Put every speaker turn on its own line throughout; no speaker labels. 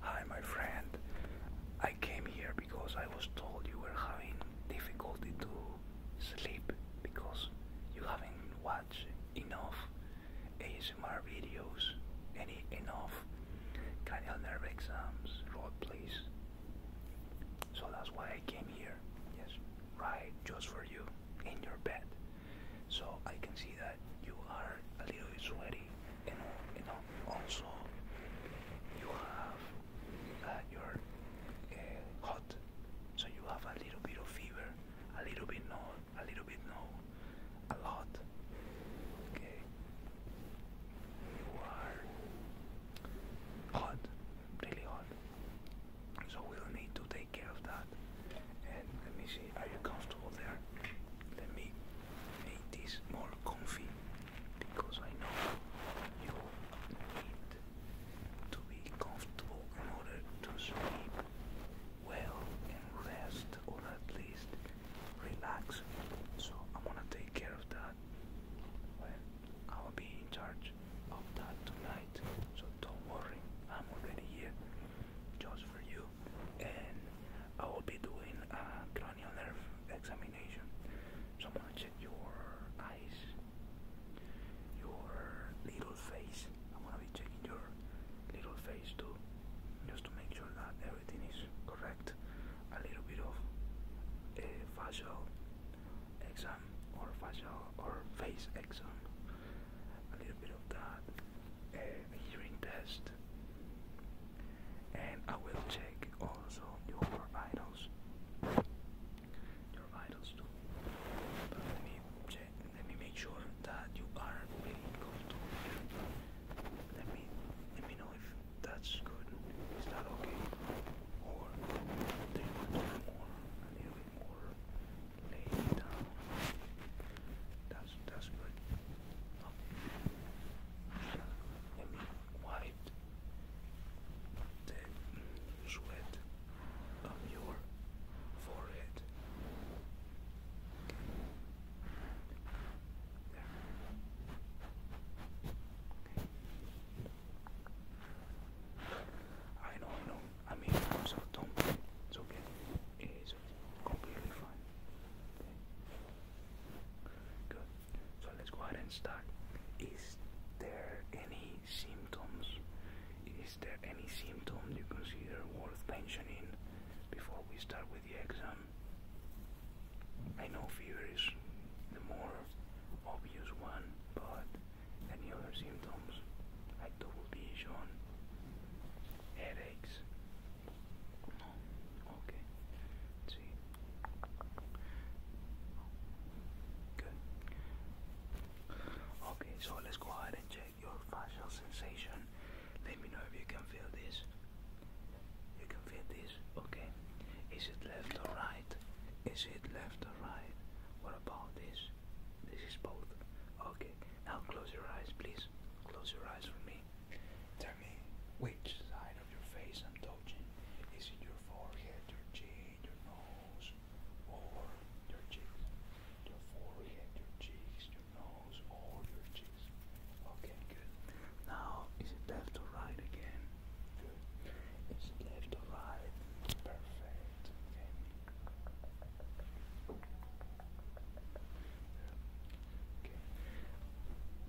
Hi, my friend. I came here because I was told you were having difficulty to sleep because you haven't watched enough ASMR videos, any enough cranial nerve exams, role please. So that's why I came here. Yes, right, just for you in your bed. So I can see that you are a little sweaty you know, you know, also you have that you're eh, hot, so you have a little bit of fever, a little bit no, a little bit no, a lot. Okay, you are hot, really hot. So we'll need to take care of that. And let me see, are you comfortable there? Let me make this more comfy because I know you need to be comfortable in order to sleep well and rest or at least relax. So I'm gonna take care of that. Well, I'll be in charge of that tonight. So don't worry, I'm already here just for you and I will be doing a cranial nerve examination. So I'm gonna check your eyes, your little face. I'm gonna be checking your little face too, just to make sure that everything is correct. A little bit of a eh, facial exam or facial or face exam. A little bit of that a hearing test and I will check also your vitals your vitals too let me check let me make sure that you are really good let me let me know if that's good is that okay or do you want more a little bit more lay that's that's good. Let me wipe the sweat on your forehead. I know, I know. I mean, I'm so dumb. It's okay. It's completely fine. Good. So let's go ahead and start. Is there any symptoms? Is there any symptom you consider worth mentioning before we start with the exam? I know fever is the more obvious one, but any other symptoms like double vision, headaches, Okay. let see. Good. Okay, so let's go ahead and check your facial sensation. Let me know if you can feel this. You can feel this. Okay. Is it left or right? Is it left or right? What about this? This is both. Okay. Now close your eyes, please. Close your eyes for me. Tell me which side of your face I'm touching. Is it your forehead, your chin, your nose, or your cheeks? Your forehead, your cheeks, your nose, or your cheeks. Okay, good. Now, is it left or right again? Good. Is it left or right? Perfect. Okay.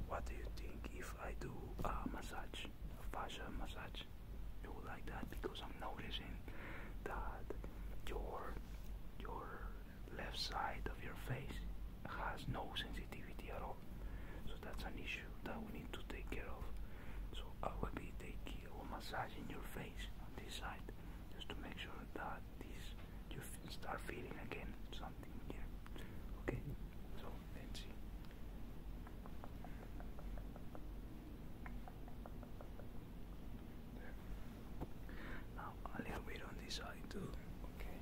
What do you think if I do a massage, a facial massage? You would like that because I'm noticing that your your left side of your face has no sensitivity at all. So that's an issue that we need to take care of. So I will be taking a massage in your face on this side just to make sure that this you start feeling again something here. Okay, so let's see. Now a little on this side too. Okay.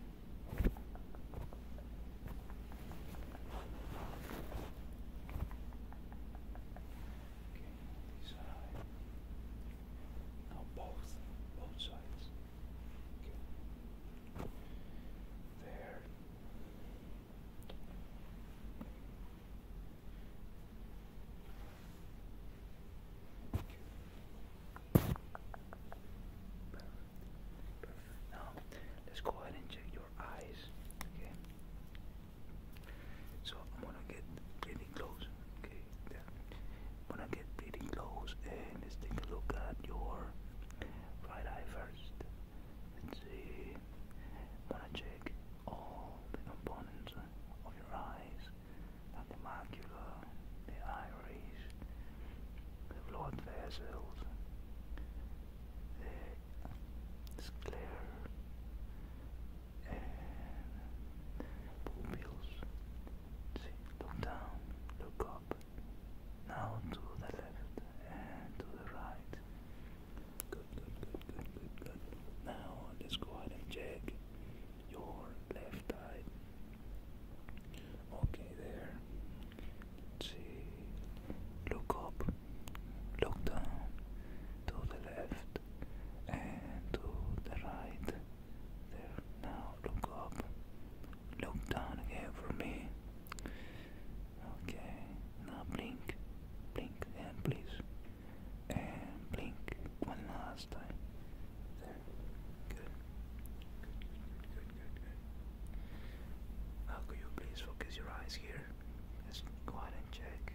Okay, this side. Now both, both sides. There. Perfect. Now let's go ahead and check your eyes. Okay. So I'm gonna get pretty close. Okay. I'm gonna get pretty close and eh, let's take a look at your right eye first. Let's see. I'm gonna check all the components of your eyes, the macula, the iris, the blood vessels, the sclera, and pupils. See, look down, look up. Now to the left and to the right. Good, good, good, good, good, good. Now let's go ahead and check your left eye. Okay, there. see. Look up, look down, to the left and to the right. There, now look up. Look down again for me. Okay, now blink. Blink and please. And blink one last time. There. Good. Good, good, good, Now could you please focus your eyes here? Let's go ahead and check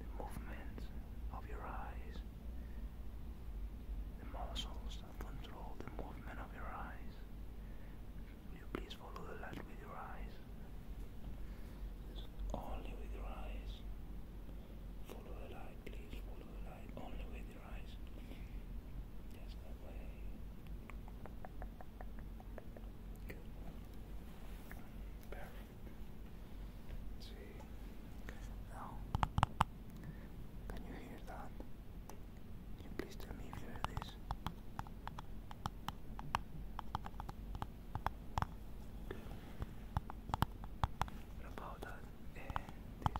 the movements of your eyes, the muscles control the movement of your eyes. Will you please follow the light with your eyes? only with your eyes. Follow the light, please. Follow the light only with your eyes. Just that way. Perfect. see. Now, oh. can you hear that? please tell me if you hear this? about that? Eh, this?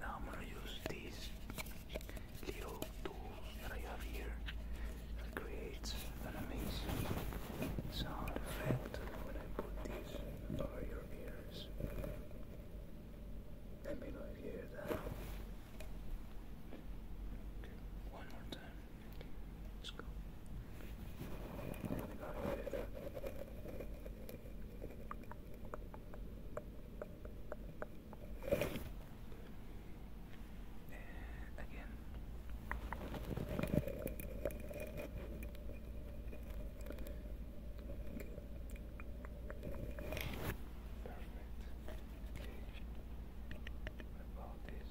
Now I'm gonna use these little tools that I have here that creates an amazing sound effect when I put these over your ears. Let me know hear that. one more time. Let's go. There again. Perfect about this.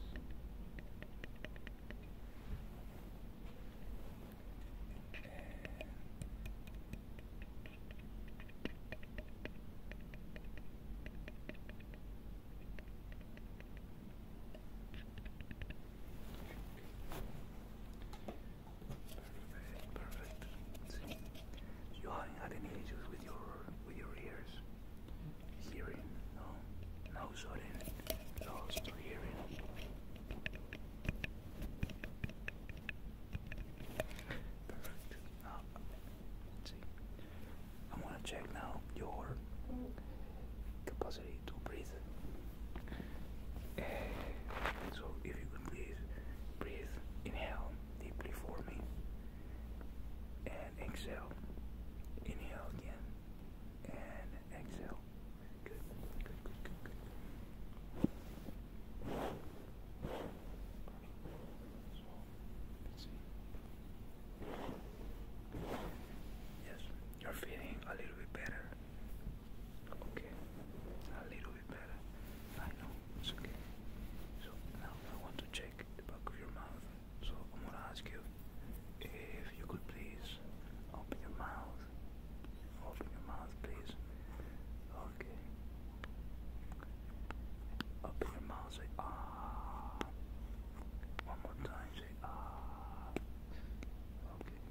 perfect, perfect. you are not had issues with your with your ears hearing, no, no, sorry, lost hearing. Perfect. Now, see. I'm gonna check now your capacity to breathe. Eh, so, if you could please breathe, inhale deeply for me and exhale. Inhale again and exhale. Good, good, good, good, Yes, you're feeling a little bit better. Okay, a little bit better. I know, okay. So now I want to check the back of your mouth. So I'm gonna ask you if you could please open your mouth. Open your mouth, please. Okay. Open your mouth. Say ah. One more time. Say ah. Okay.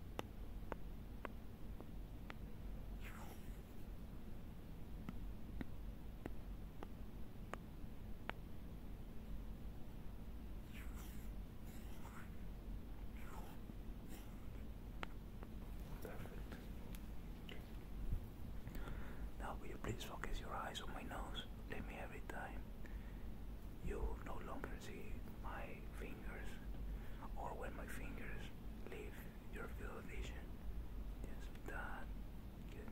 Perfect. Now, you please focus your eyes on my nose? every time. You will no longer see my fingers or when my fingers leave your field of vision. Yes, that Good.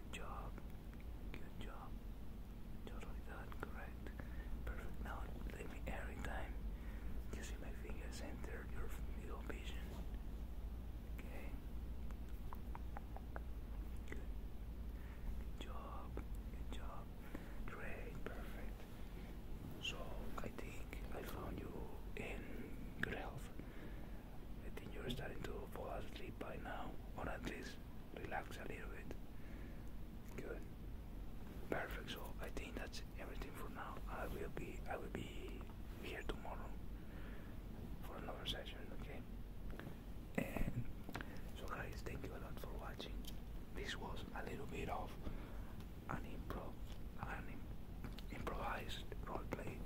Good job. Good job. Totally done. Correct. Perfect. Now let me every you see my fingers enter your middle vision. Okay. Good job. Good job. Great. Perfect. So I think I found you in good health. I think you're starting to fall asleep by now, or at least relax a little bit. Good. Perfect. So I think that's everything for now. I will be I will be here tomorrow for another session. Okay. And so guys, thank you a lot for watching. This was a little bit of an improv, an improvised role play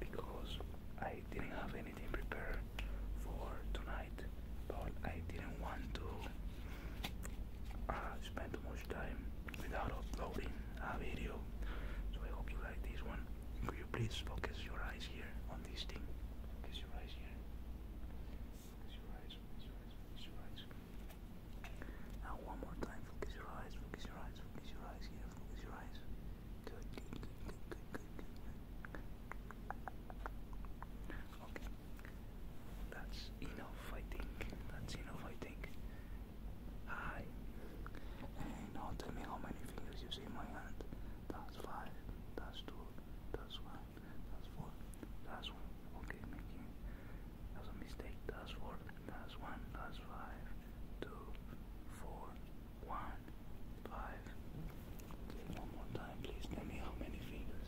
because I didn't have any anything prepared for tonight, but I didn't want to uh, spend too much time without uploading a video. So I hope you like this one. Could you please focus your eyes here on this thing? Now one more time. Focus your eyes. Focus your eyes. Focus your eyes here. Focus your eyes. Okay. That's enough, I think. That's enough, I think. Hi. now tell me how many fingers you see in my hand. That's five. That's two. That's one. That's four. That's one. Okay, making. That's a mistake. That's four. That's one. That's five. Two. Four. One, five. One more time, please. Tell me how many fingers.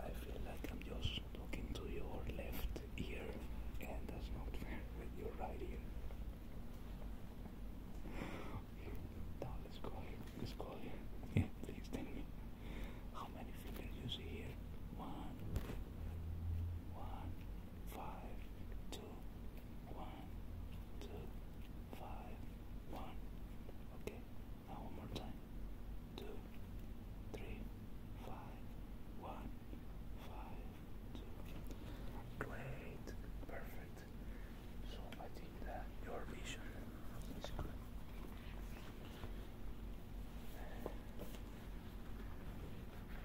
I feel like I'm just talking to your left ear, and that's not fair your right ear. Now let's go Let's go here. Yeah, please tell me how many fingers you see here. One, one five, two, one, two, five, one. Okay, now one more time. Two, three, five, one, five, two. Great, perfect. So I think that your vision is good.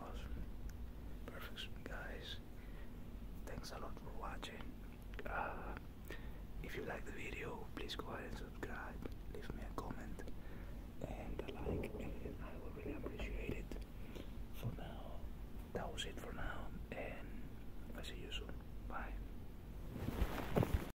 Awesome. Perfect, guys. Thanks a lot for watching. Uh, if you like the video, please go ahead and subscribe. Leave me a comment and a like, I would really appreciate it. For now, that was it for now, and I'll see you soon. Bye.